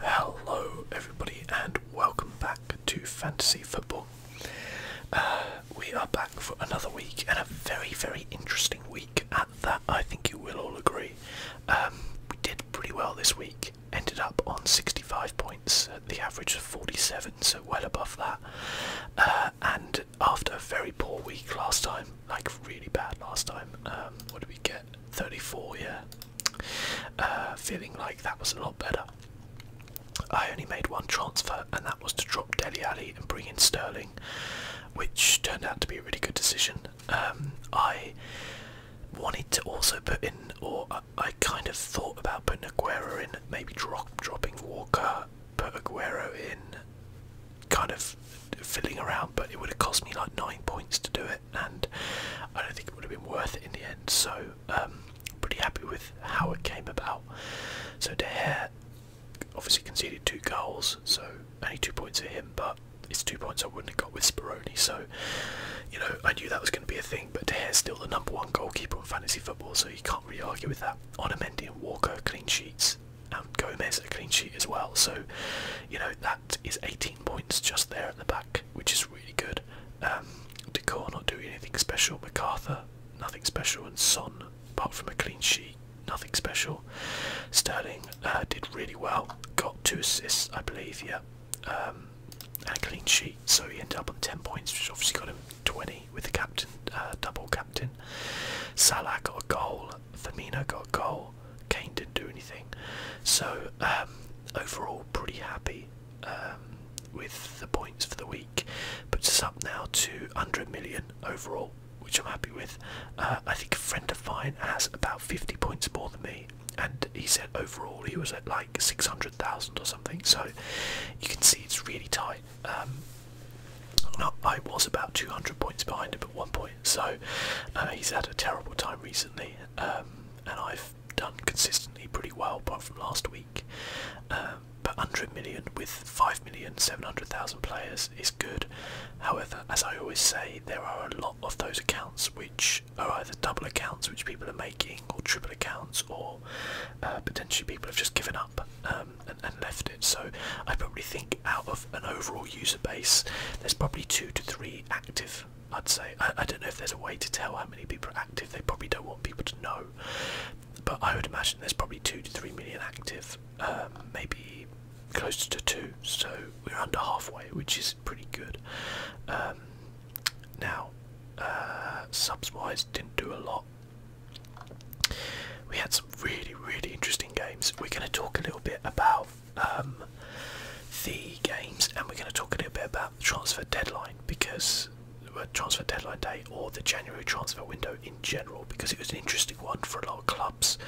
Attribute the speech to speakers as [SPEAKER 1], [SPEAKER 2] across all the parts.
[SPEAKER 1] Hello, everybody, and welcome back to Fantasy Football. Uh, we are back for another week, and a very, very interesting week at that. I think you will all agree. Um, we did pretty well this week. Ended up on 65 points, uh, the average of 47, so well above that. Uh, and after a very poor week last time, like really bad last time, um, what did we get? 34, yeah, uh, feeling like that was a lot better. I only made one transfer, and that was to drop Deli Ali and bring in Sterling, which turned out to be a really good decision. Um, I wanted to also put in, or I, kind of thought about putting Aguero in, maybe drop, dropping Walker, put Aguero in, kind of fiddling around, but it would have cost me like nine points to do it and I don't think it would have been worth it in the end. So um, pretty happy with how it came about. So De Gea obviously conceded two goals, so only two points for him, but it's two points I wouldn't have got with Speroni. So you know I knew that was going to be a thing, but De Gea's still the number one goalkeeper in fantasy football, so he can't really argue with that. Onamendi and Walker clean sheets. And Gomez a clean sheet as well, so you know that is 18 points just there at the back, which is really good. Um, Decor not doing anything special. MacArthur, nothing special. And Son, apart from a clean sheet, nothing special. Sterling uh, did really well. Got two assists, I believe, yeah. Um, and a clean sheet. So he ended up on 10 points, which obviously got him 20 with the captain, uh, double captain. Salah got a goal. Firmino got a goal. Kane didn't do anything. So um, overall, pretty happy um, with the points for the week. Puts us up now to 100 million overall, which I'm happy with. Uh, I think a friend of mine has about 50 points more than me, and he said overall he was at like 600,000 or something. So you can see it's really tight. Um, I was about 200 points behind him at one point, so uh, he's had a terrible time recently. Um, and I've done consistently pretty well apart from last week. Um, but 100 million with 5,700,000 players is good. However, as I always say, there are a lot of those accounts which are either double accounts which people are making, or triple accounts, or uh, potentially people have just given up um, and left it. So I probably think out of an overall user base, there's probably two to three active I'd say I, don't know if there's a way to tell how many people are active. They probably don't want people to know, but I would imagine there's probably two to three million active, um, maybe closer to two. So we're under halfway, which is pretty good. Um, now, uh, subs wise, didn't do a lot. We had some really, really interesting games. We're going to talk a little bit about um, the games, and we're going to talk a little bit about the transfer deadline because uh, transfer deadline day or the January transfer window in general because it was an interesting one for a lot of clubs.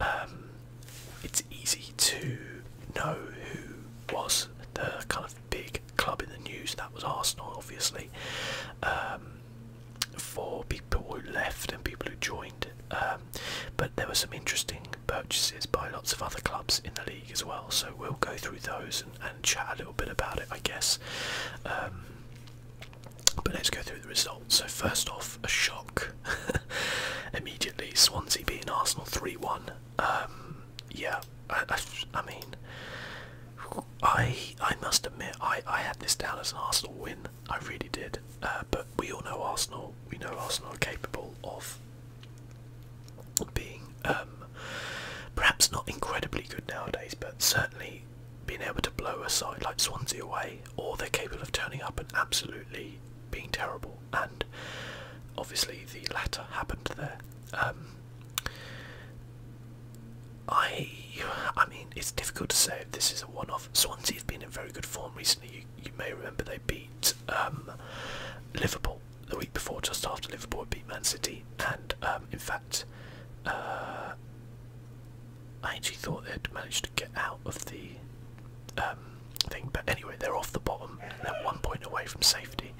[SPEAKER 1] Um, it's easy to know who was the kind of big club in the news. That was Arsenal, obviously. Um, for people who left and people who joined, but there were some interesting purchases by lots of other clubs in the league as well. So we'll go through those and, chat a little bit about it, I guess. Um, but let's go through the results. So first off, a shock immediately. Swansea beat Arsenal three-one. Um, yeah, I, I, mean, I I must admit I I had this down as an Arsenal win. I really did. Uh, but we all know Arsenal. We know Arsenal are capable of being um, perhaps not incredibly good nowadays, but certainly being able to blow a side like Swansea away, or they're capable of turning up and absolutely being terrible. And obviously, the latter happened there. Um, I, I mean, it's difficult to say if this is a one-off. Swansea have been in very good form recently. You, may remember they beat um, Liverpool the week before, just after Liverpool beat Man City, and um, in fact, uh, I actually thought they'd managed to get out of the um, thing, but anyway, they're off the bottom, they're one point away from safety,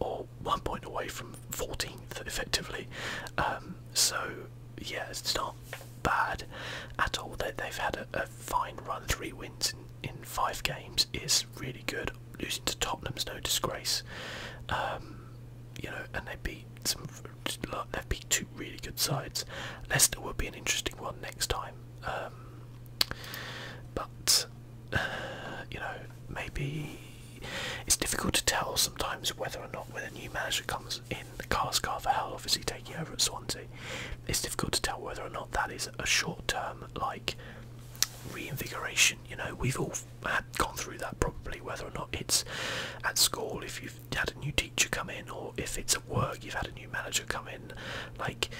[SPEAKER 1] or one point away from 14th, effectively. Um, so, yeah, it's not bad at all. They, they've had a, fine run, three wins in five games is really good. Losing to Tottenham's no disgrace. Um, you know, and they beat some. They've beat two really good sides. Leicester will be an interesting one next time. Um, but you know, maybe it's difficult to tell sometimes whether or not when a new manager comes in, Car Cars hell obviously taking over at Swansea, it's difficult to tell whether or not that is a short-term like reinvigoration. You know, we've all had gone through that probably, whether or not it's at school, if you've had a new teacher come in, or if it's at work, you've had a new manager come in. Like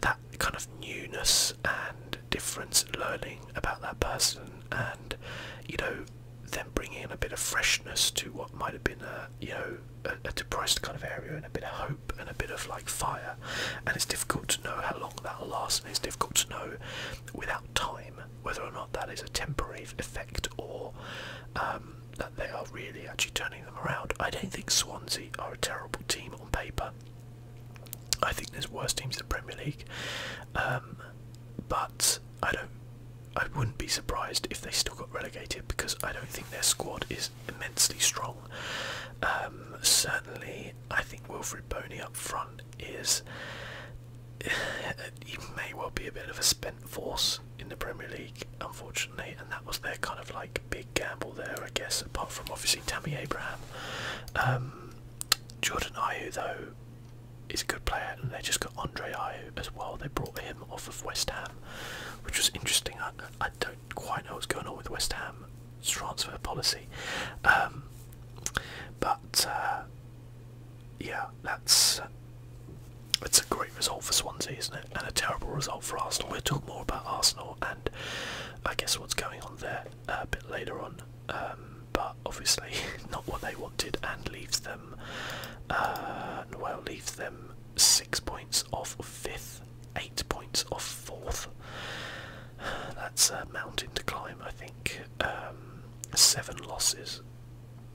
[SPEAKER 1] that kind of newness and difference, learning about that person, and you know, then bringing in a bit of freshness to what might have been a you know a depressed kind of area and a bit of hope and a bit of like fire, and it's difficult to know how long that'll last, and it's difficult to know without time whether or not that is a temporary effect or um, that they are really actually turning them around. I don't think Swansea are a terrible team on paper. I think there's worse teams in the Premier League, um, but I don't. I wouldn't be surprised if they still got relegated because I don't think their squad is immensely strong. Um, certainly, I think Wilfred Boney up front is. he may well be a bit of a spent force in the Premier League, unfortunately, and that was their kind of like big gamble there, I guess, apart from obviously Tammy Abraham. Um, Jordan Ayew, though, is a good player, and they just got Andre Ayew as well. They brought him off of West Ham, which was interesting. I don't quite know what's going on with West Ham's transfer policy, um, but uh, yeah, that's uh, it's a great result for Swansea, isn't it? And a terrible result for Arsenal. We'll talk more about Arsenal and I guess what's going on there uh, a bit later on, um, but obviously not what they wanted, and leaves them well leaves them six points off fifth eight points off fourth. That's a mountain to climb, I think. Um, seven losses.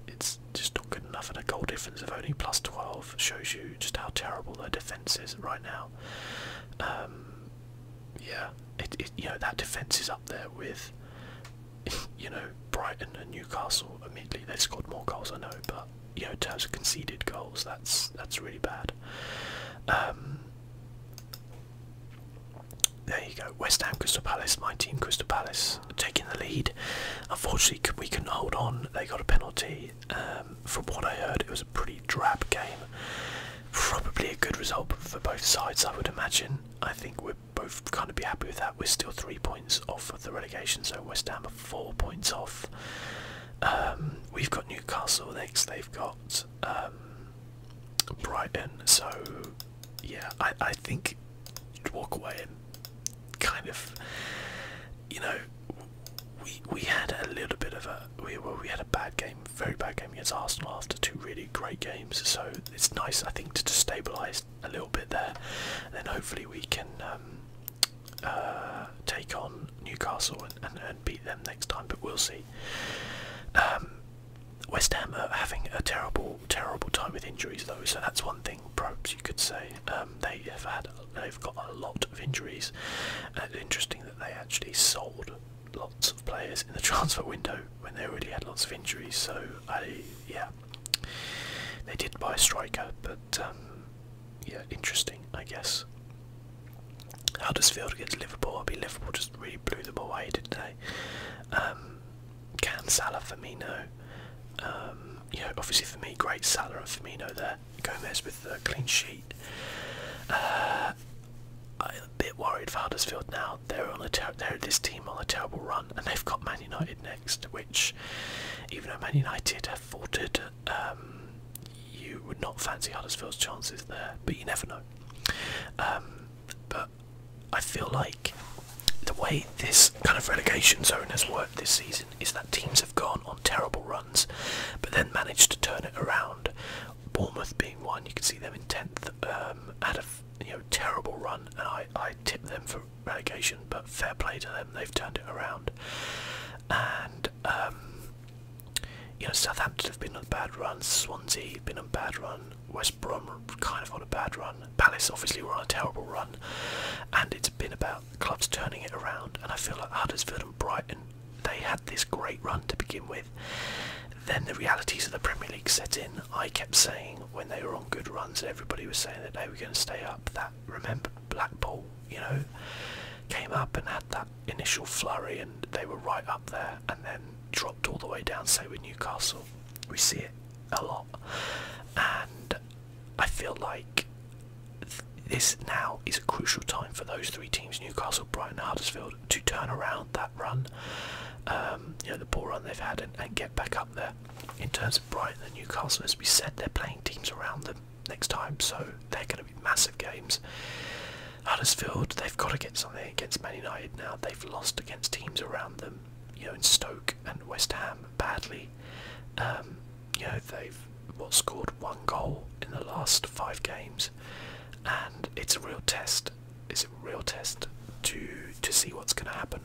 [SPEAKER 1] It's just not good enough, and a goal difference of only plus 12 shows you just how terrible their defence is right now. Um, yeah, you know that defence is up there with, you know, Brighton and Newcastle. Admittedly, they've scored more goals, I know, but you know, in terms of conceded goals, that's that's really bad. Um, there you go. West Ham, Crystal Palace. My team, Crystal Palace, taking the lead. Unfortunately, we couldn't hold on. They got a penalty. Um, from what I heard, it was a pretty drab game. Probably a good result for both sides, I would imagine. I think we'd both kind of be happy with that. We're still three points off of the relegation zone. West Ham are four points off. Um, we've got Newcastle next. They've got got um, Brighton, so yeah, I, I think you'd walk away and kind of, you know, we we had a little bit of a we we had a bad game, very bad game against Arsenal after two really great games, so it's nice I think to, to stabilise a little bit there, and then hopefully we can um, uh, take on Newcastle and, and, beat them next time, but we'll see. Um, West Ham are having a terrible, terrible time with injuries though, so that's one thing perhaps you could say. Um, they have had, they've got a lot of injuries, interesting that they actually sold lots of players in the transfer window when they already had lots of injuries. So I, yeah, they did buy a striker, but um, yeah, interesting, I guess. Huddersfield against Liverpool. I will be Liverpool just really blew them away, didn't they? Um, can Salah, Firmino. Um, you obviously for me, great Salah and Firmino there. Gomez with the clean sheet. Uh, I'm a bit worried for Huddersfield now. They're on a they're this team on a terrible run, and they've got Man United next, which even though Man United have faltered, um, you would not fancy Huddersfield's chances there, but you never know. Um, but I feel like the way this kind of relegation zone has worked this season is that teams have gone on terrible runs, but then managed to turn it around. Bournemouth being one, you can see them in tenth, um, at a you know terrible run, and I I tipped them for relegation, but fair play to them, they've turned it around. And um, you know Southampton have been on a bad run, Swansea been on a bad run, West Brom kind of on a bad run, Palace obviously were on a terrible run, and it's been about clubs turning it around. And I feel like Huddersfield and Brighton they had this great run to begin with. Then the realities of the Premier League set in. I kept saying when they were on good runs and everybody was saying that they were going to stay up. That remember Blackpool, you know, came up and had that initial flurry and they were right up there and then dropped all the way down, say with Newcastle. We see it a lot. And I feel like this now is a crucial time for those three teams, Newcastle, Brighton, and Huddersfield, to turn around that run. Um, you know, the poor run they've had and get back up there. In terms of Brighton and Newcastle, as we said, they're playing teams around them next time, so they're going to be massive games. Huddersfield, they've got to get something against Man United now. They've lost against teams around them, you know, in Stoke and West Ham badly. Um, you know, they've what scored one goal in the last five games, and it's a real test. It's a real test to to see what's going to happen.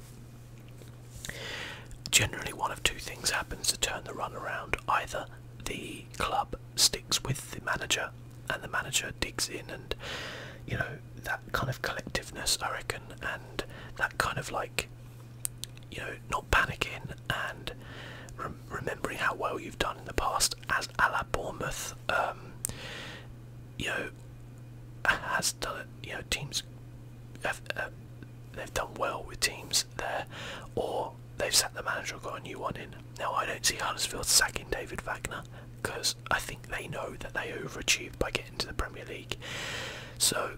[SPEAKER 1] Generally, one of two things happens to turn the run around: either the club sticks with the manager and the manager digs in and you know that kind of collectiveness i reckon and that kind of like you know not panicking and remembering how well you've done in the past as a la bournemouth um, you know has done it you know teams have uh, they've done well with teams there or they've sacked the manager and got a new one in. Now, I don't see Huddersfield sacking David Wagner because I think they know that they overachieved by getting to the Premier League. So,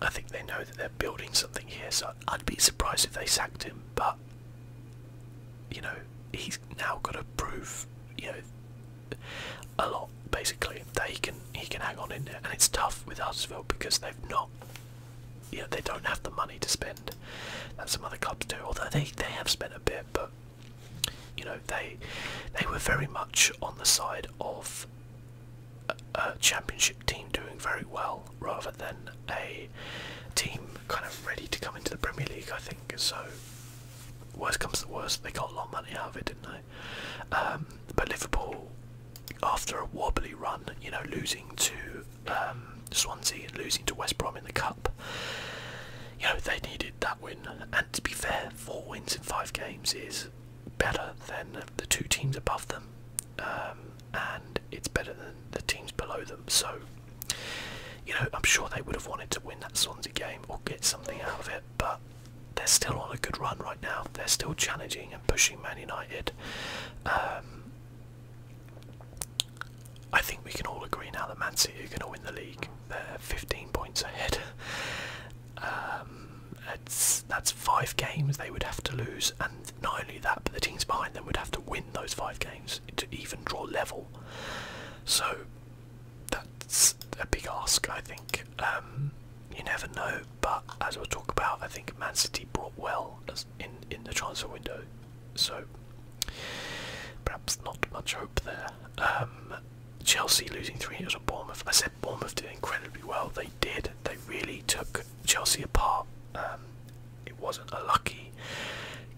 [SPEAKER 1] I think they know that they're building something here. So, I'd be surprised if they sacked him, but you know, he's now got to prove, you know, a lot basically that he can he can hang on in there, and it's tough with Huddersfield because they've not you they don't have the money to spend that some other clubs do. Although they they have spent a bit, but you know they they were very much on the side of a, championship team doing very well rather than a team kind of ready to come into the Premier League. I think so. Worst comes to worst, they got a lot of money out of it, didn't they? Um, but Liverpool, after a wobbly run, you know, losing to um, Swansea and losing to West Brom in the cup. You know they needed that win, and to be fair, four wins in five games is better than the two teams above them, um, and it's better than the teams below them. So, you know, I'm sure they would have wanted to win that Swansea game or get something out of it, but they're still on a good run right now. They're still challenging and pushing Man United. Um, I think we can all agree now that Man City are going to win the league. They're 15 points ahead. Um, that's five games they would have to lose, and not only that, but the teams behind them would have to win those five games to even draw level. So that's a big ask, I think. Um, you never know, but as we'll talk about, I think Man City brought well in in the transfer window. So perhaps not much hope there. Um, Chelsea losing three nil to Bournemouth. I said Bournemouth did incredibly well. They did. They really took Chelsea apart. Um, it wasn't a lucky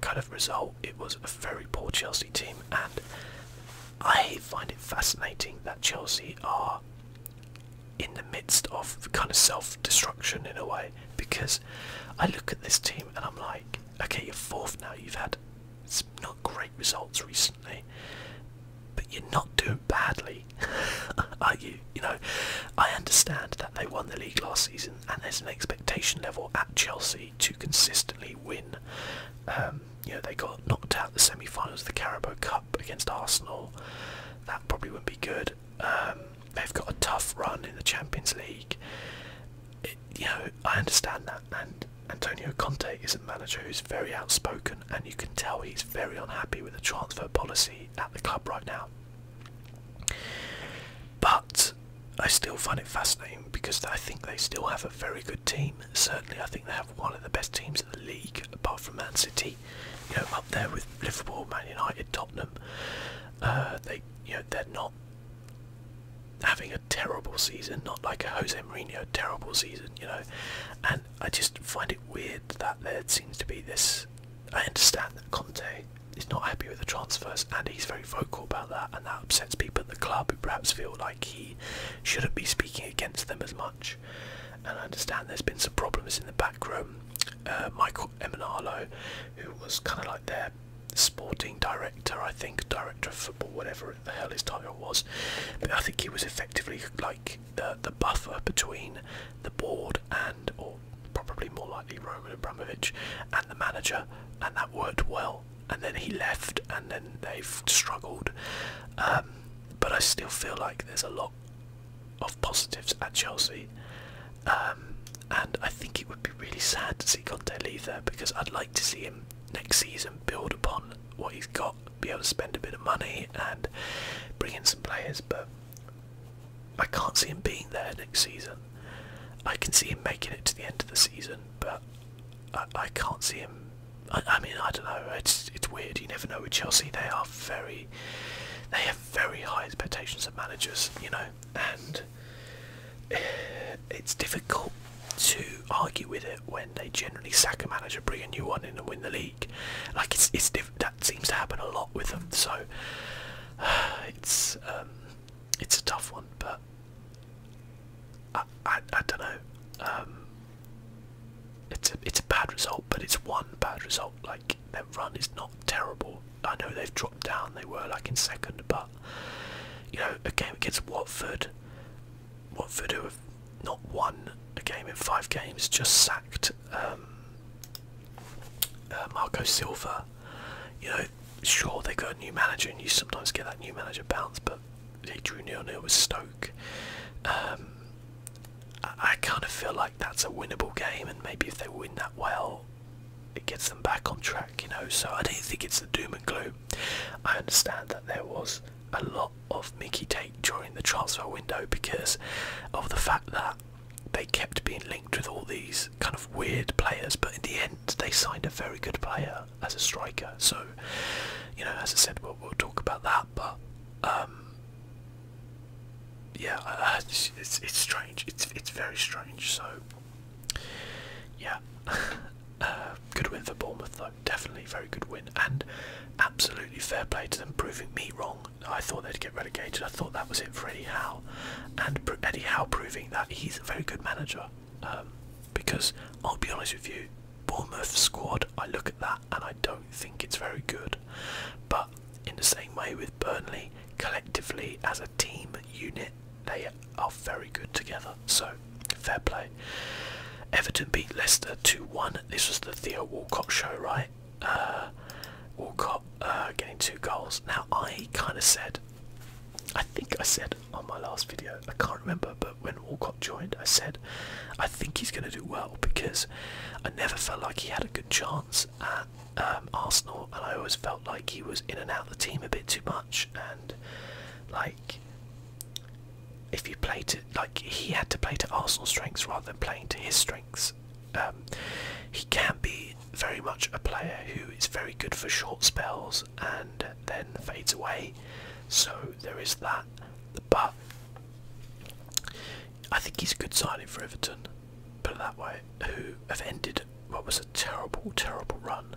[SPEAKER 1] kind of result. It was a very poor Chelsea team, and I find it fascinating that Chelsea are in the midst of kind of self-destruction in a way. Because I look at this team and I'm like, okay, you're fourth now. You've had not great results recently, but you're not doing badly, are you? You know, I understand that they won the league last season, and there's an expectation level at Chelsea to consistently win. Um, you know, they got knocked out the semi-finals of the Carabao Cup against Arsenal. That probably wouldn't be good. Um, they've got a tough run in the Champions League. you know, I understand that, and Antonio Conte is a manager who's very outspoken, and you can tell he's very unhappy with the transfer policy at the club right now. But I still find it fascinating because I think they still have a very good team. Certainly, I think they have one of the best teams in the league, apart from Man City. You know, up there with Liverpool, Man United, Tottenham. Uh, they, you know, they're not having a terrible season, not like a Jose Mourinho terrible season, you know. And I just find it weird that there seems to be this. I understand that Conte is not happy with the transfers, and he's very vocal about that, and that upsets people in the club who perhaps feel like he shouldn't be speaking against them as much. And I understand there's been some problems in the backroom. Uh, Michael Emanalo, who was kind of like their sporting director, I think, director of football, whatever the hell his title was. But I think he was effectively like the the buffer between the board and, or probably more likely Roman Abramovich, and the manager, and that worked well. And then he left, and then they've struggled. Um, but I still feel like there's a lot of positives at Chelsea. Um, and I think it would be really sad to see Conte leave there because I'd like to see him next season build upon what he's got, be able to spend a bit of money and bring in some players. But I can't see him being there next season. I can see him making it to the end of the season, but I, I can't see him. I, I mean, I don't know. It's it's weird. You never know with Chelsea. They are very, they have very high expectations of managers, you know, and it's difficult to argue with it when they generally sack a manager, bring a new one in, and win the league. Like it's it's that seems to happen a lot with them. So it's um, it's a tough one, but I I, don't know. Um, it's a it's a bad result, but it's one bad result. Like their run is not terrible. I know they've dropped down. They were like in second, but you know, a game against Watford, Watford who have not won a game in five games, just sacked um, uh, Marco Silva. You know, sure they got a new manager, and you sometimes get that new manager bounce, but they drew nil nil with Stoke. Um, I kind of feel like that's a winnable game, and maybe if they win that well, it gets them back on track, you know. So I don't think it's the doom and gloom. I understand that there was a lot of Mickey take during the transfer window because of the fact that they kept being linked with all these kind of weird players, but in the end, they signed a very good player as a striker. So, you know, as I said, we'll, we'll talk about that, but. Um, yeah, it's, it's, it's strange. It's it's very strange. So yeah, uh, good win for Bournemouth though. Definitely very good win and absolutely fair play to them proving me wrong. I thought they'd get relegated. I thought that was it for Eddie Howe, and Eddie Howe proving that he's a very good manager. Um, because I'll be honest with you, Bournemouth squad. I look at that and I don't think it's very good. But in the same way with Burnley, collectively as a team unit they are very good together. So, fair play. Everton beat Leicester 2-1. This was the Theo Walcott show, right? Uh, Walcott uh, getting two goals. Now, I kind of said, I think I said on my last video, I can't remember, but when Walcott joined, I said, I think he's going to do well because I never felt like he had a good chance. And um, Arsenal, and I always felt like he was in and out of the team a bit too much. And like, if you played it, like, he had to play to Arsenal's strengths rather than playing to his strengths. Um, he can be very much a player who is very good for short spells and then fades away. So there is that, but I think he's a good signing for Everton, put it that way, who have ended what was a terrible, terrible run.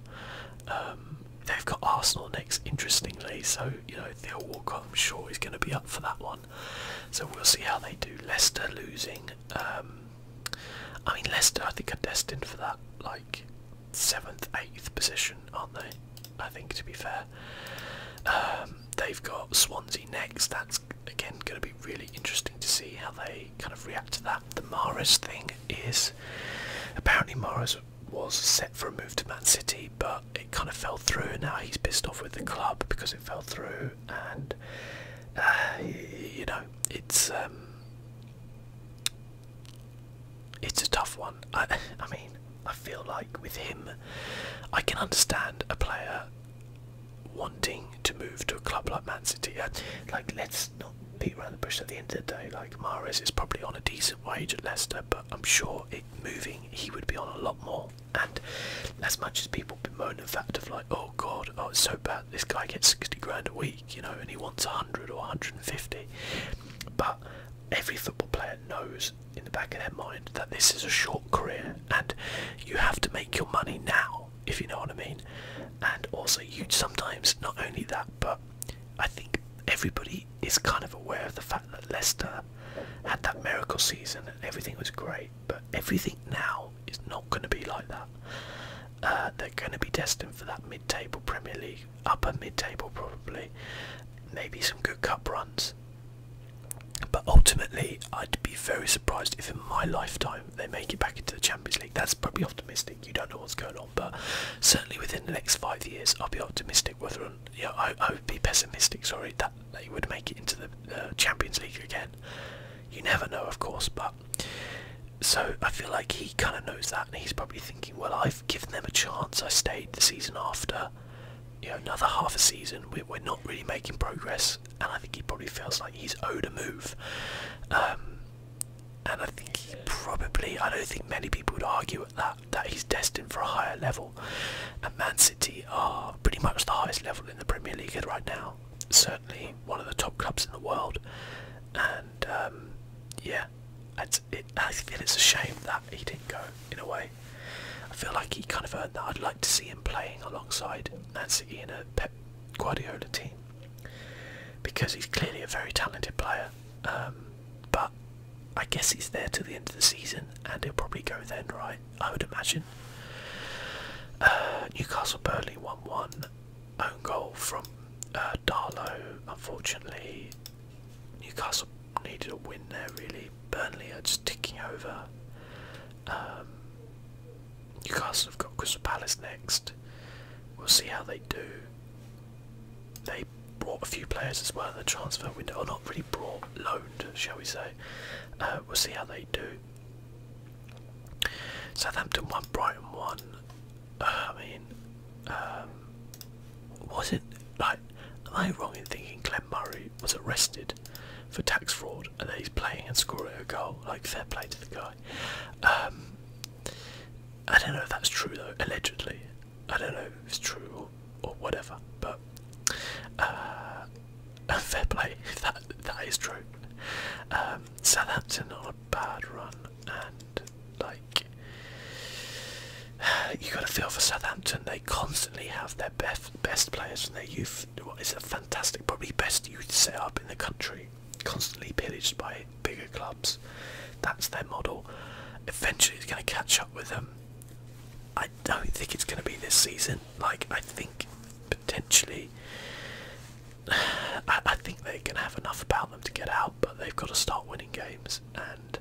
[SPEAKER 1] Um, they've got Arsenal next, interestingly, so you know Theo Walcott, I'm sure, is going to be up for that one. So we'll see how they do. Leicester losing. Um, I mean, Leicester, I think, are destined for that like seventh, eighth position, aren't they? I think, to be fair. Um, they've got Swansea next. That's again going to be really interesting to see how they kind of react to that. The Mares thing is apparently Mares was set for a move to Man City, but it kind of fell through. And now he's pissed off with the club because it fell through, and uh, you know it's um, it's a tough one. I, I mean, I feel like with him, I can understand a player wanting to move to a club like Man City. Uh, like let's let's not beat around the bush at the end of the day. Like Maris is probably on a decent wage at Leicester, but I'm sure it moving he would be on a lot more. And as much as people bemoan the fact of like, oh god, oh it's so bad, this guy gets 60 grand a week, you know, and he wants 100 or 150. But every football player knows in the back of their mind that this is a short career and you have to make your money now if you know what I mean. And also, you sometimes not only that, but I think everybody is kind of aware of the fact that Leicester had that miracle season and everything was great, but everything now is not going to be like that. Uh, they're going to be destined for that mid-table Premier League, upper mid-table probably, maybe some good cup runs. But ultimately, I'd be very surprised if in my lifetime they make it back into the Champions League. That's probably optimistic. You don't know what's going on, but certainly within the next five years, I'll be optimistic. Whether on, I, I would be pessimistic. Sorry, that they would make it into the Champions League again. You never know, of course, but so I feel like he kind of knows that, and he's probably thinking, well, I've given them a chance. I stayed the season after. You know, another half a season, we, we're not really making progress, and I think he probably feels like he's owed a move. Um, and I think he probably, I don't think many people would argue at that, that he's destined for a higher level. And Man City are pretty much the highest level in the Premier League at right now. Certainly one of the top clubs in the world. And um, yeah, it's, I feel it's a shame that he didn't go in a way. I feel like he kind of earned that. I'd like to see him playing alongside Man City in a Pep Guardiola team because he's clearly a very talented player. Um, but I guess he's there till the end of the season, and he'll probably go then, right? I would imagine. Uh, Newcastle Burnley 1 1. Own goal from uh, Darlow. Unfortunately, Newcastle needed a win there, really. Burnley are just ticking over. Um, Newcastle have got Crystal Palace next. We'll see how they do. They brought a few players as well in the transfer window, or not really brought, loaned, shall we say. Uh, we'll see how they do. Southampton won, Brighton won. Uh, I mean, um, was it like am I wrong in thinking Glenn Murray was arrested for tax fraud and that he's playing and scoring a goal? Like fair play to the guy. Um, I don't know if that's true though, allegedly. I don't know if it's true or, whatever, but uh, fair play if that, that is true. Um, Southampton on a bad run, and like, you got a feel for Southampton, they constantly have their best, best players from their youth. It's a fantastic, probably best youth set up in the country constantly pillaged by bigger clubs. That's their model. Eventually, it's going to catch up with them. I don't think it's going to be this season. Like, I think potentially, I, think they can have enough about them to get out, but they've got to start winning games, and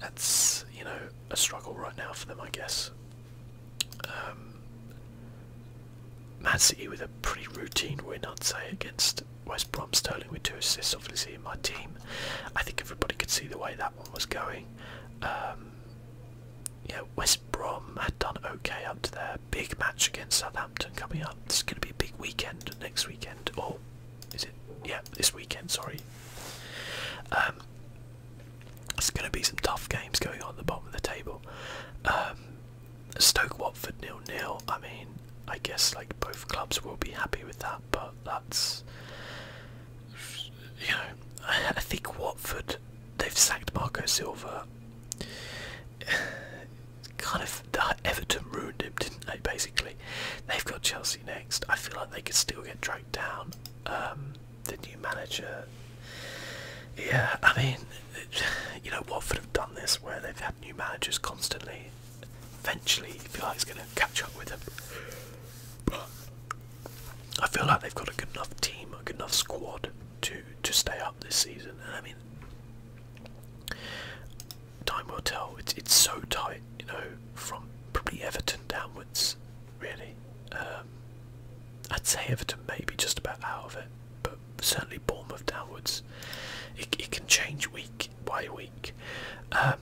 [SPEAKER 1] that's you know a struggle right now for them, I guess. Um, Man City with a pretty routine win, I'd say, against West Brom. Sterling with two assists, obviously, in my team. I think everybody could see the way that one was going. Um, yeah, West Brom had done okay up to their big match against Southampton coming up. It's going to be a big weekend next weekend, or is it? Yeah, this weekend. Sorry. Um, it's going to be some tough games going on at the bottom of the table. Um, Stoke Watford nil nil. I mean, I guess like both clubs will be happy with that, but that's you know, I think Watford they've sacked Marco Silva. kind of the Everton ruined him, didn't they? Basically, they've got Chelsea next. I feel like they could still get dragged down. Um, the new manager. Yeah, I mean, you know, Watford have done this where they've had new managers constantly. Eventually, I feel like it's going to catch up with them. But I feel like they've got a good enough team, a good enough squad to to stay up this season. And I mean, time will tell. It's it's so tight, you know, from probably Everton downwards, really. Um, I'd say Everton maybe just about out of it but certainly Bournemouth downwards. It, it can change week by week. Um,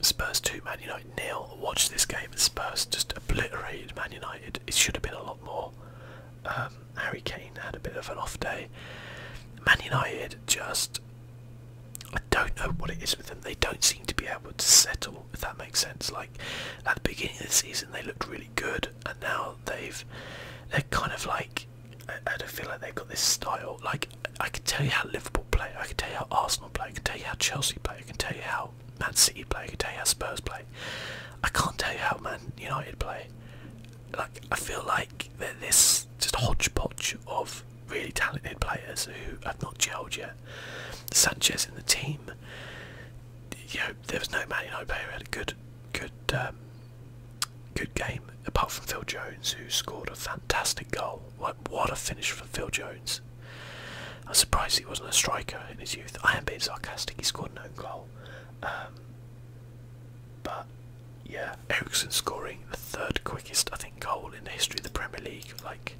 [SPEAKER 1] Spurs 2, Man United nil. Watch this game, Spurs just obliterated Man United. It should have been a lot more. Um, Harry Kane had a bit of an off day. Man United just. I don't know what it is with them. They don't seem to be able to settle, if that makes sense. Like at the beginning of the season, they looked really good, and now they've they're kind of like I, don't feel like they've got this style. Like I can tell you how Liverpool play, I can tell you how Arsenal play, I can tell you how Chelsea play, I can tell you how Man City play, I can tell you how Spurs play. I can't tell you how Man United play. Like I feel like they're this just hodgepodge of really talented players who have not gelled yet. Sanchez in the team. You know, there was no Man United player who had a good, good um, good game, apart from Phil Jones, who scored a fantastic goal. what a finish for Phil Jones. I'm surprised he wasn't a striker in his youth. I am a bit sarcastic, he scored no goal. Um, but, yeah, Ericsson scoring the third quickest, I think, goal in the history of the Premier League. Like,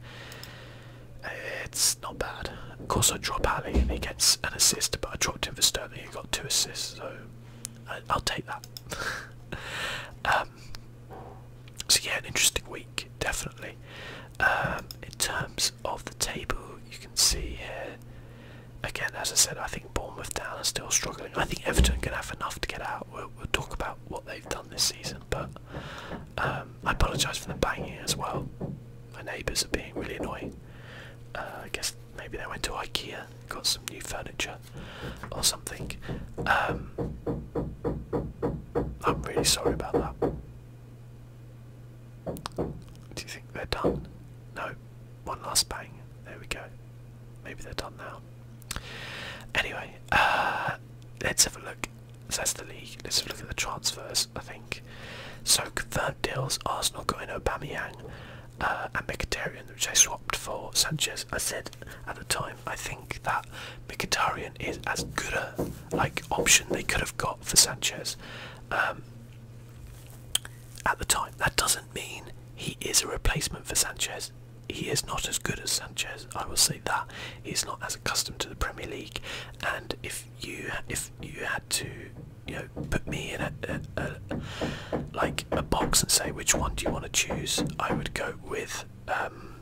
[SPEAKER 1] it's not bad. Of course, I drop Alley and he gets an assist, but I dropped him for Sterling, he got two assists, so I, will take that. Um, so yeah, an interesting week definitely. Um, in terms of the table, you can see here again. As I said, I think Bournemouth down are still struggling. I think Everton can have enough to get out. We'll, talk about what they've done this season, but um, I apologise for the banging as well. My neighbours are being really annoying. Uh, I guess Maybe they went to IKEA, got some new furniture or something. Um, I'm really sorry about that. Do you think they're done? No. One last bang. There we go. Maybe they're done now. Anyway, uh, let's have a look. that's the league. Let's have a look at the transfers, I think. So confirmed deals, Arsenal got in Aubameyang, and uh, Mkhitaryan, which I swapped for Sanchez. I said at the time, I think that Mkhitaryan is as good a like option they could have got for Sanchez. Um, at the time, that doesn't mean he is a replacement for Sanchez. He is not as good as Sanchez. I will say that he's not as accustomed to the Premier League. And if you if you had to, you know, put me in a, a like a box and say which one do you want to choose, I would go with um,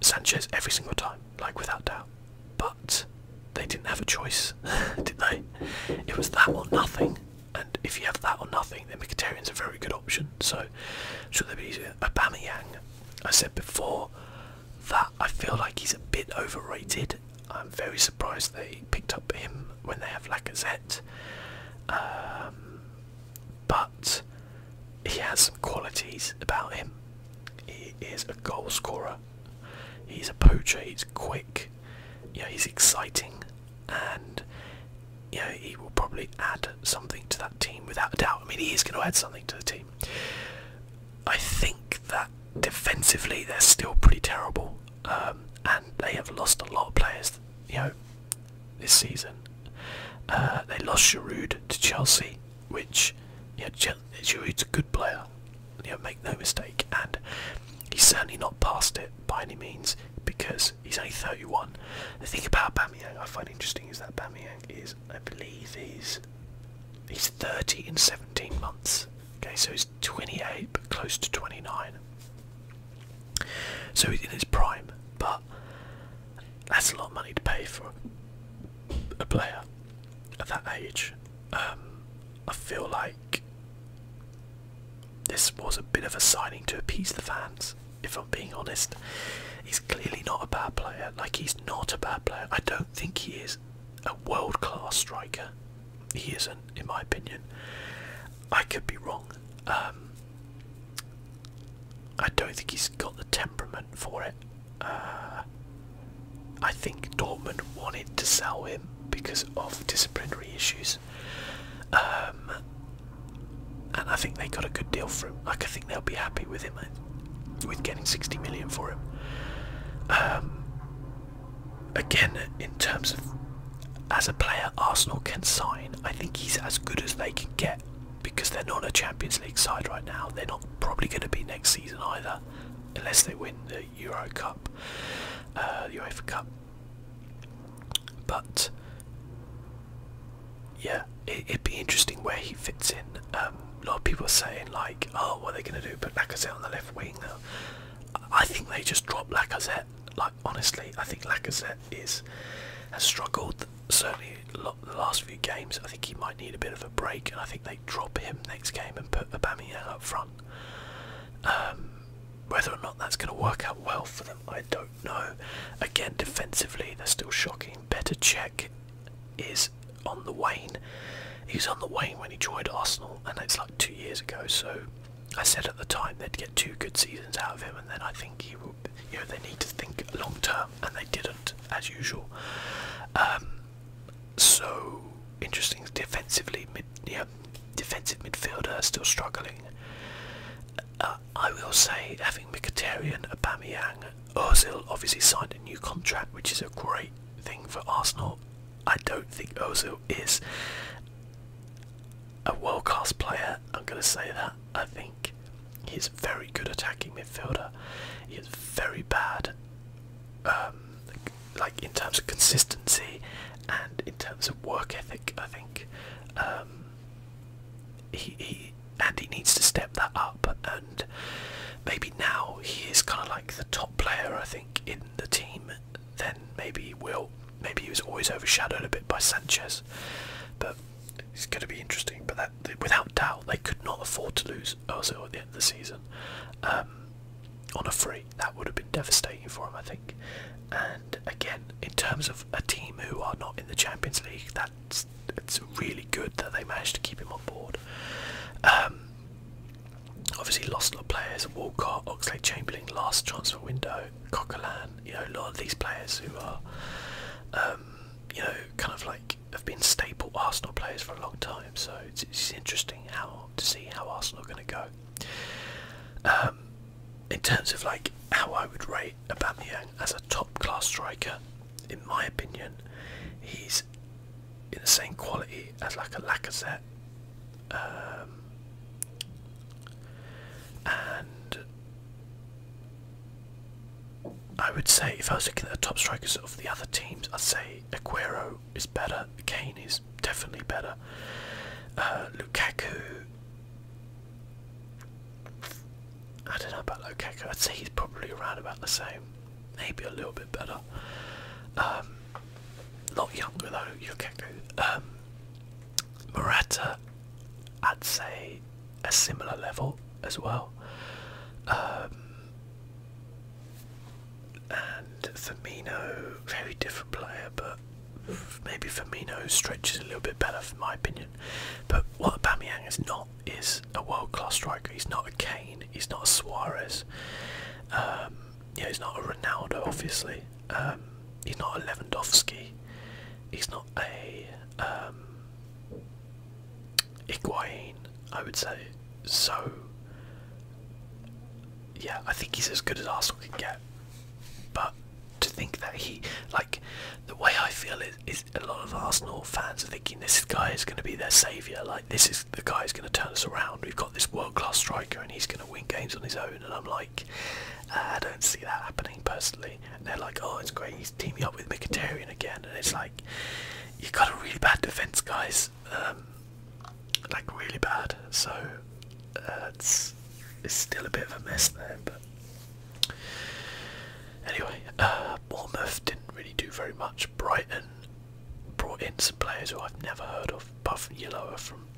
[SPEAKER 1] Sanchez every single time, like without doubt. But they didn't have a choice, did they? It was that or nothing. And if you have that or nothing, then is a very good option. So, should there be easier? Aubameyang, I said before that I feel like he's a bit overrated. I'm very surprised they picked up him when they have Lacazette. Um, but he has some qualities about him. He is a goalscorer. He's a poacher. He's quick. Yeah, he's exciting, and yeah, he will probably add something to that team without a doubt. I mean, he is going to add something to the team. I think that defensively they're still pretty terrible. Um, and they have lost a lot of players, you know, this season. Uh, they lost Giroud to Chelsea, which, you know, Giroud's a good player, you know, make no mistake, and he's certainly not past it by any means because he's only 31. The thing about Bamiyang I find interesting is that Bamiyang is, I believe, he's he's 30 in 17 months. Okay, so he's 28 but close to 29. So he's in his prime, but that's a lot of money to pay for a player at that age. Um, I feel like this was a bit of a signing to appease the fans, if I'm being honest. He's clearly not a bad player. Like, he's not a bad player. I don't think he is a world class striker he isn't, in my opinion. I could be wrong. Um, I don't think he's got the temperament for it. Uh, I think Dortmund wanted to sell him because of disciplinary issues. Um, and I think they got a good deal for him. Like I think they'll be happy with him, with getting 60 million for him. Um, again, in terms of as a player Arsenal can sign, I think he's as good as they can get because they're not a Champions League side right now. They're not probably going to be next season either, unless they win the Euro Cup, Euro uh, the Cup. But yeah, it, would be interesting where he fits in. Um, a lot of people are saying like, "Oh, what are they going to do? Put Lacazette on the left wing?" I think they just drop Lacazette like honestly, I think Lacazette is has struggled certainly the last few games. I think he might need a bit of a break, and I think they drop him next game and put Aubameyang up front. Um, whether or not that's going to work out well for them, I don't know. Again, defensively, they're still shocking. Better check is on the wane. He was on the wane when he joined Arsenal, and it's like two years ago. So I said at the time they'd get two good seasons out of him, and then I think he will. You know, they need to think long term, and they didn't, as usual. Um, so interesting defensively, yeah, defensive midfielder still struggling. Uh, I will say, having Mkhitaryan, Aubameyang, Ozil obviously signed a new contract, which is a great thing for Arsenal. I don't think Ozil is a world class player, I'm going to say that. I think he's a very good attacking midfielder. He's very bad, um, like in terms of consistency and in terms of work ethic. I think um, he, he and he needs to step that up. And maybe now he is kind of like the top player. I think in the team. Then maybe he will maybe he was always overshadowed a bit by Sanchez, but it's going to be interesting. But that, without doubt, they could not afford to lose Ozil at the end of the season um, on a free. That would have been devastating for him, I think. And again, in terms of a team who are not in the Champions League, that's it's really good that they managed to keep him on board. Um, obviously, lost a lot of players: Walcott, Oxley, Chamberlain, last transfer window. Coquelin, you know, a lot of these players who are, um, you know, kind of like have been staple Arsenal players for a long time. So it's, interesting how to see how Arsenal are going to go. Um, in terms of like how I would rate Aubameyang as a top-class striker, in my opinion, he's in the same quality as like a Lacazette um, and I would say, if I was looking at the top strikers of the other teams, I'd say Aguero is better, Kane is definitely better, uh, Lukaku. I don't know about Lukaku. I'd say he's probably around about the same, maybe a little bit better. Um, a lot younger though, Lukaku. Um, Morata, I'd say a similar level as well. Um, and Firmino, very different player, but maybe Firmino stretches a little bit better, in my opinion. But what Aubameyang is not is a world-class striker. He's not a Kane. He's not a Suarez. Um, yeah, he's not a Ronaldo, obviously. Um, he's not a Lewandowski. He's not a um, I would say. So, yeah, I think he's as good as Arsenal can get. But to think that he, like, the way I feel is, is a lot of Arsenal fans are thinking this guy is going to be their saviour. Like, this is the guy is going to turn us around. We've got this world class striker and he's going to win games on his own. And I'm like, uh, I don't see that happening personally. And they're like, oh, it's great, he's teaming up with Mkhitaryan again, and it's like you've got a really bad defense, guys, um, like really bad. So uh, it's it's still a bit of a mess there, but. Anyway, uh, Bournemouth didn't really do very much. Brighton brought in some players who I've never heard of, apart from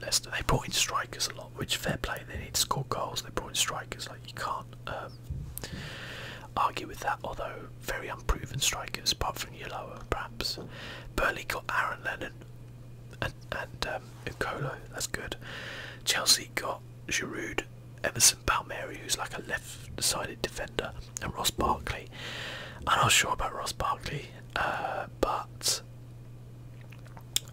[SPEAKER 1] Leicester. They brought in strikers a lot, which fair play. They need to goals. They brought in strikers. Like you can't um, argue with that. Although very unproven strikers, apart from Yoloa, perhaps. Burnley got Aaron Lennon and and um, That's good. Chelsea got Giroud, Emerson Palmieri, who's like a left-sided defender, and Ross Barkley. I'm not sure about Ross Barkley, uh, but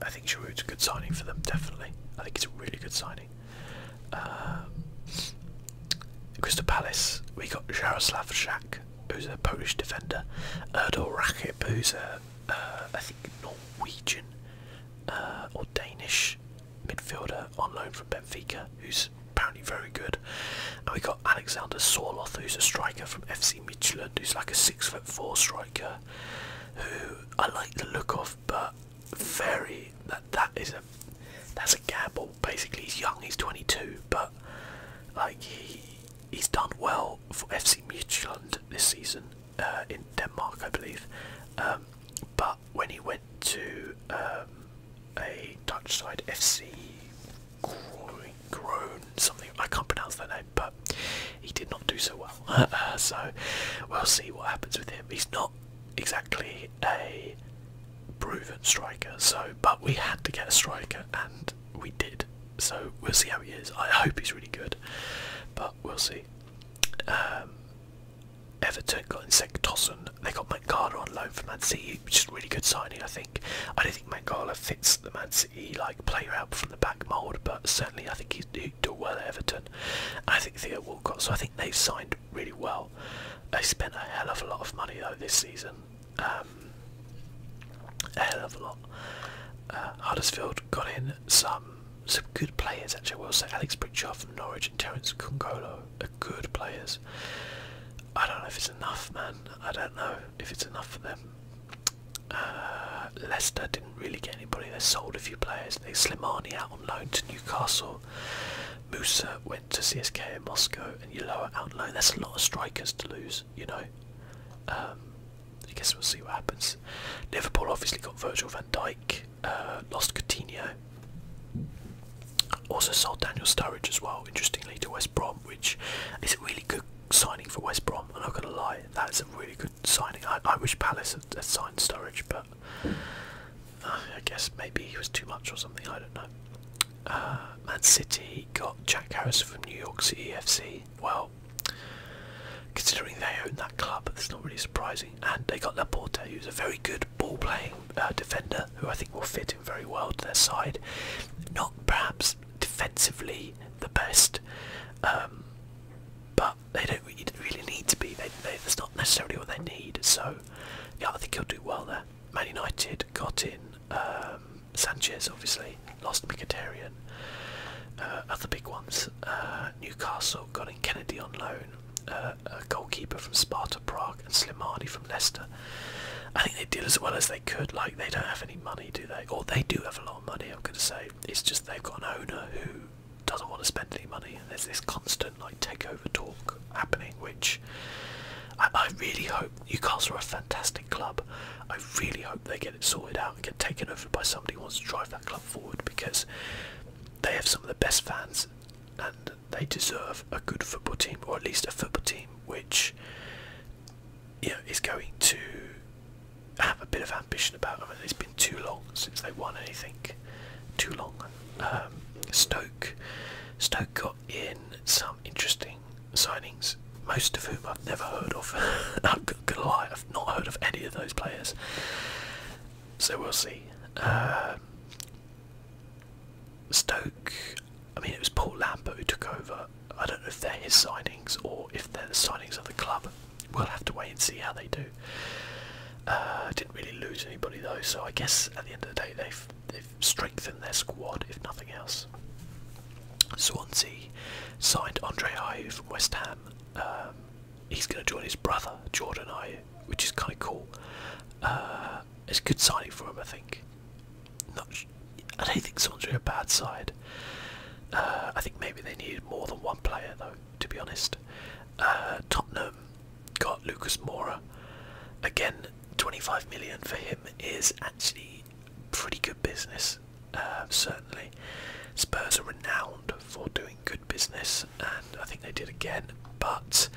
[SPEAKER 1] I think Giroud's a good signing for them, definitely. I think it's a really good signing. Um, Crystal Palace, we got Jaroslav Szak, who's a Polish defender. Erdal Rakip, who's a uh, I think, Norwegian uh, or Danish midfielder on loan from Benfica, who's apparently very good. And we got Alexander Sorloth, who's a striker from FC Midtjylland, who's like a six foot four striker who I like the look of, but very that that is a that's a gamble. Basically, he's young, he's 22, but like he he's done well for FC Midtjylland this season uh, in Denmark, I believe. Um, but when he went to um, a Dutch side, FC Groen, something I can't pronounce their name but he did not do so well. Uh, so we'll see what happens with him. He's not exactly a proven striker, so but we had to get a striker and we did. So we'll see how he is. I hope he's really good, but we'll see. Um, Everton got Insect They got Mangala on loan for Man City, which is really good signing, I think. I don't think Mangala fits the Man City like player out from the back mould, but certainly I think he's, do well Everton. I think Theo Walcott, so I think they've signed really well. They spent a hell of a lot of money though this season. Um, a hell of a lot. Uh, Huddersfield got in some some good players actually. Well, so Alex Pritchard from Norwich and Terence Congolo are good players. I don't know if it's enough, man. I don't know if it's enough for them. Uh, Leicester didn't really get anybody. They sold a few players. They Slimani out on loan to Newcastle. Musa went to CSK in Moscow, and Yuloa out on loan. There's a lot of strikers to lose, you know. Um, I guess we'll see what happens. Liverpool obviously got Virgil van Dijk, uh, lost Coutinho. Also sold Daniel Sturridge as well, interestingly, to West Brom, which is a really good signing for West Brom. I'm not going to lie, that's a really good signing. I, wish Palace had, signed Sturridge, but uh, I guess maybe he was too much or something. I don't know. Uh, Man City got Jack Harris from New York City FC. Well, considering they own that club, it's not really surprising. And they got Laporte, who's a very good ball-playing uh, defender, who I think will fit in very well to their side. Not perhaps defensively the best, um, but they don't really need to be. that's not necessarily what they need. So, yeah, I think he'll do well there. Man United got in um, Sanchez, obviously, lost Mkhitaryan. Uh, other big ones. Uh, Newcastle got in Kennedy on loan, uh, a goalkeeper from Sparta Prague, and Slimani from Leicester. I think they did as well as they could. Like they don't have any money, do they? Or they do have a lot of money. I'm going to say it's just they've got an owner who doesn't want to spend any money. There's this constant like takeover talk happening, which I, really hope Newcastle are a fantastic club. I really hope they get it sorted out and get taken over by somebody who wants to drive that club forward because they have some of the best fans and they deserve a good football team or at least a football team which you is going to have a bit of ambition about them. and It's been too long since they won anything. Too long. Um, Stoke. Stoke got in some interesting signings, most of whom I've never heard of. i gonna lie, I've not heard of any of those players. So we'll see. Um, Stoke. I mean, it was Paul Lambert who took over. I don't know if they're his signings or if they're the signings of the club we'll have to wait and see how they do. Uh, didn't really lose anybody though, so I guess at the end of the day they've they've strengthened their squad if nothing else. Swansea signed Andre Ayew from West Ham. Um, he's going to join his brother Jordan Ayew, which is kind of cool. Uh, it's a good signing for him, I think. I don't think Swansea are a bad side. Uh, I think maybe they needed more than one player though to be honest. Uh, Tottenham got Lucas Moura. Again, 25 million for him is actually pretty good business, uh, certainly. Spurs are renowned for doing good business, and I think they did again, but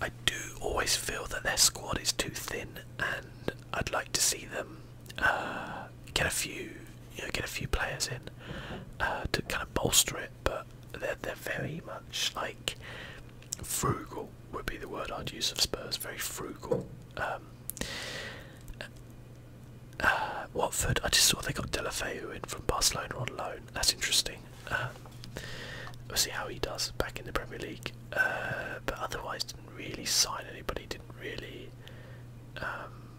[SPEAKER 1] I do always feel that their squad is too thin, and I'd like to see them. Uh, get a few, you know, get a few players in uh, to kind of bolster it. But they're they're very much like frugal would be the word I'd use of Spurs. Very frugal. Um, uh, Watford, I just saw they got Delafeu in from Barcelona on loan. That's interesting. Um, we'll see how he does back in the Premier League. Uh, but otherwise, didn't really sign anybody. Didn't really um,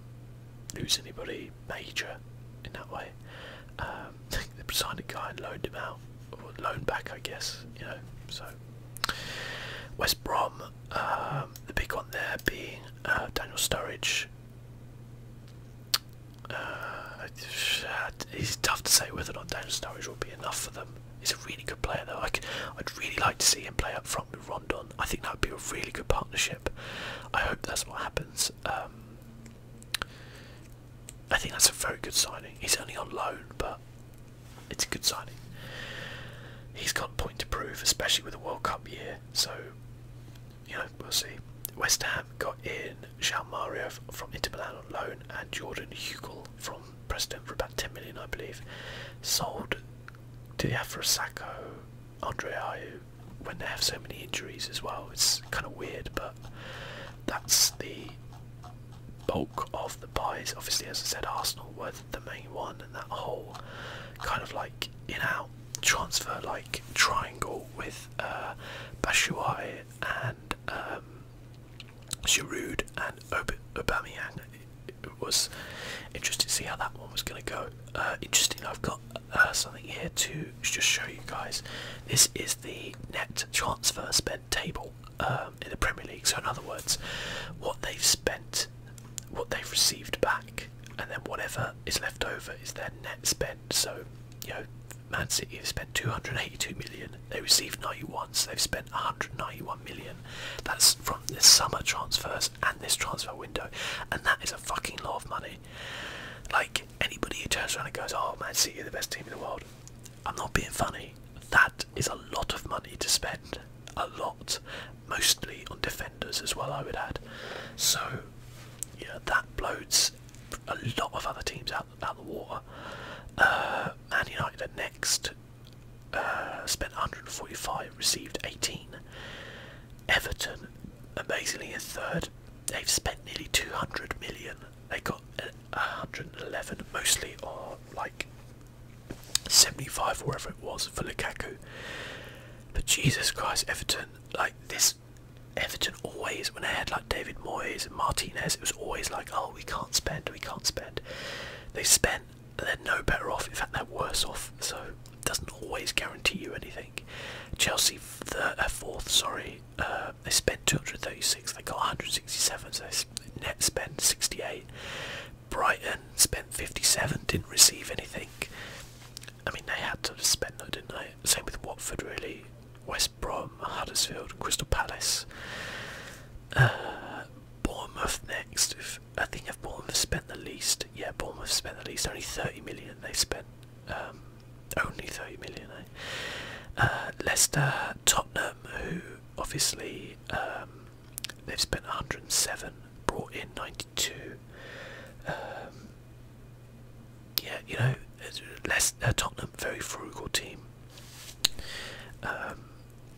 [SPEAKER 1] lose anybody major in that way. Um, they signed a guy and loaned him out, or loaned back, I guess. You know, so West Brom, um, the big one there being uh, Daniel Sturridge. Uh, it's tough to say whether or not Daniel Sturridge will be enough for them. He's a really good player, though. I'd really like to see him play up front with Rondon I think that would be a really good partnership. I hope that's what happens. Um, I think that's a very good signing. He's only on loan, but it's a good signing. He's got point to prove, especially with the World Cup year. So, you know, we'll see. West Ham got in Jean Mario from Inter Milan on loan and Jordan Hugel from Preston for about 10 million, I believe. Sold to Afrosacco, Andre Ayew, when they have so many injuries as well, it's kind of weird. But that's the bulk of the buys. Obviously, as I said, Arsenal were the main one, and that whole kind of like in-out transfer like triangle with uh, Bashuai and um, Giroud and Ob Aubameyang. It was interesting to see how that one was going to go. Uh, interesting, I've got uh, something here to just show you guys. This is the net transfer spend table um, in the Premier League. So in other words, what they've spent, what they've received back, and then whatever is left over is their net spend. So you know, Man City have spent 282 million. They received 91, so they've spent 191 million. That's from this summer transfers and this transfer window, and that is a fucking lot of money. Like anybody who turns around and goes, "Oh, Man City are the best team in the world," I'm not being funny. That is a lot of money to spend, a lot, mostly on defenders as well. I would add. So, yeah, that blows a lot of other teams out out the water. Uh, man United are next. Uh, spent 145, received 18. Everton, amazingly, in third. They've spent nearly 200 million. They got 111, mostly or like 75, wherever it was, for Lukaku. But Jesus Christ, Everton, like this. Everton always, when they had like David Moyes and Martinez, it was always like, oh, we can't spend, we can't spend. They spent, and they're no better off. In fact, they're worse off. So doesn't always guarantee you anything. Chelsea, the uh, fourth, sorry, uh, they spent 236, they got 167, so net spent 68. Brighton spent 57, didn't receive anything. I mean, they had to spend didn't they? Same with Watford, really. West Brom, Huddersfield, Crystal Palace. Uh, Bournemouth next. I think if Bournemouth spent the least, yeah, Bournemouth spent the least, only 30 million they spent. Um, only 30 million, eh? uh, Leicester, Tottenham, who obviously um, they've spent 107, brought in 92. Um, yeah, you know, Leicester, uh, Tottenham, very frugal team.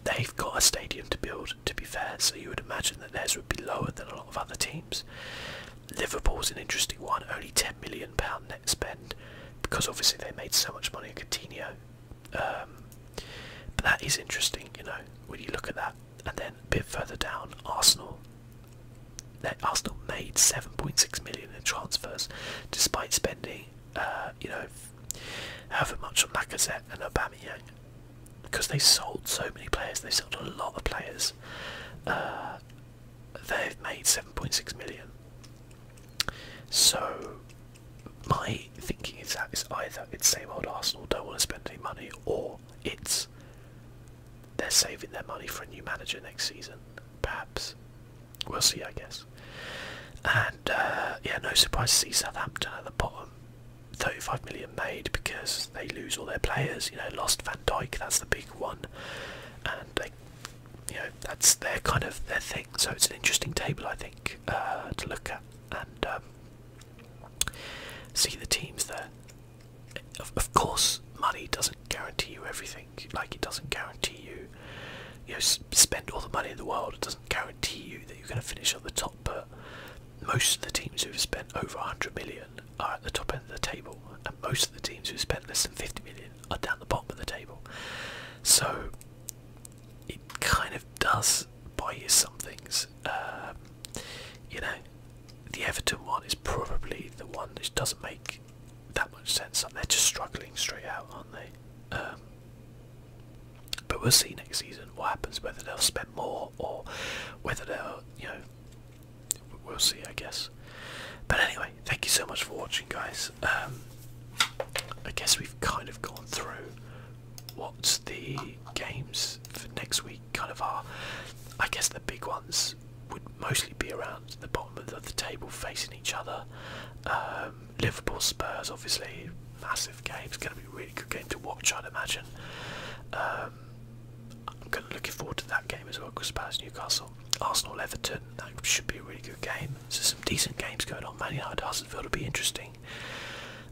[SPEAKER 1] they've got a stadium to build, to be fair, so you would imagine that theirs would be lower than a lot of other teams. Liverpool's an interesting one, only ten million pound net spend because obviously they made so much money on Coutinho. Um, but that is interesting, you know, when you look at that. And then a bit further down, Arsenal. Arsenal made 7.6 million in transfers, despite spending, uh, you know, however much on Lacazette and Aubameyang, because they sold so many players. They sold a lot of players. Uh, they've made 7.6 million. So my thinking is that it's either it's same old Arsenal don't want to spend any money, or it's they're saving their money for a new manager next season. Perhaps we'll see, I guess. And uh, yeah, no surprise to see Southampton at the bottom. 35 million made because they lose all their players. You know, lost Van Dijk, that's the big one, and they, you know, that's their kind of their thing. So it's an interesting table, I think, uh, to look at and um, see the teams there. Of, of course, money doesn't guarantee you everything. Like it doesn't guarantee you, you know, spend all the money in the world. It doesn't guarantee you that you're going to finish on the top, but most of the teams who've spent over a 100 million are at the top end of the table, and most of the teams who spend less than 50 million are down the bottom of the table. So it kind of does buy you some things. Um, you know, the Everton one is probably the one that doesn't make that much sense. They're just struggling straight out, aren't they? Um, but we'll see next season what happens, whether they'll spend more or whether they'll, you know, we'll see, I guess. But anyway, thank you so much for watching, guys. Um, I guess we've kind of gone through what the games for next week kind of are. I guess the big ones would mostly be around the bottom of the table facing each other. Um, Liverpool Spurs, obviously, massive game. It's going to be a really good game to watch, I'd imagine. Um, I'm kind of looking forward to that game as well because Spurs Newcastle, Arsenal Everton, that should be a really good game. There's some decent games going on. Man United Huddersfield will be interesting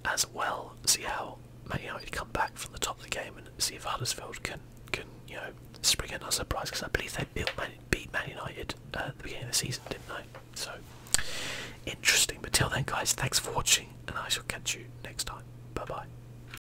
[SPEAKER 1] as well. See how Man United come back from the top of the game and see if Huddersfield can can you know spring another surprise because I believe they built beat Man United at the beginning of the season, didn't they? So interesting. But till then, guys, thanks for watching, and I shall catch you next time. Bye bye.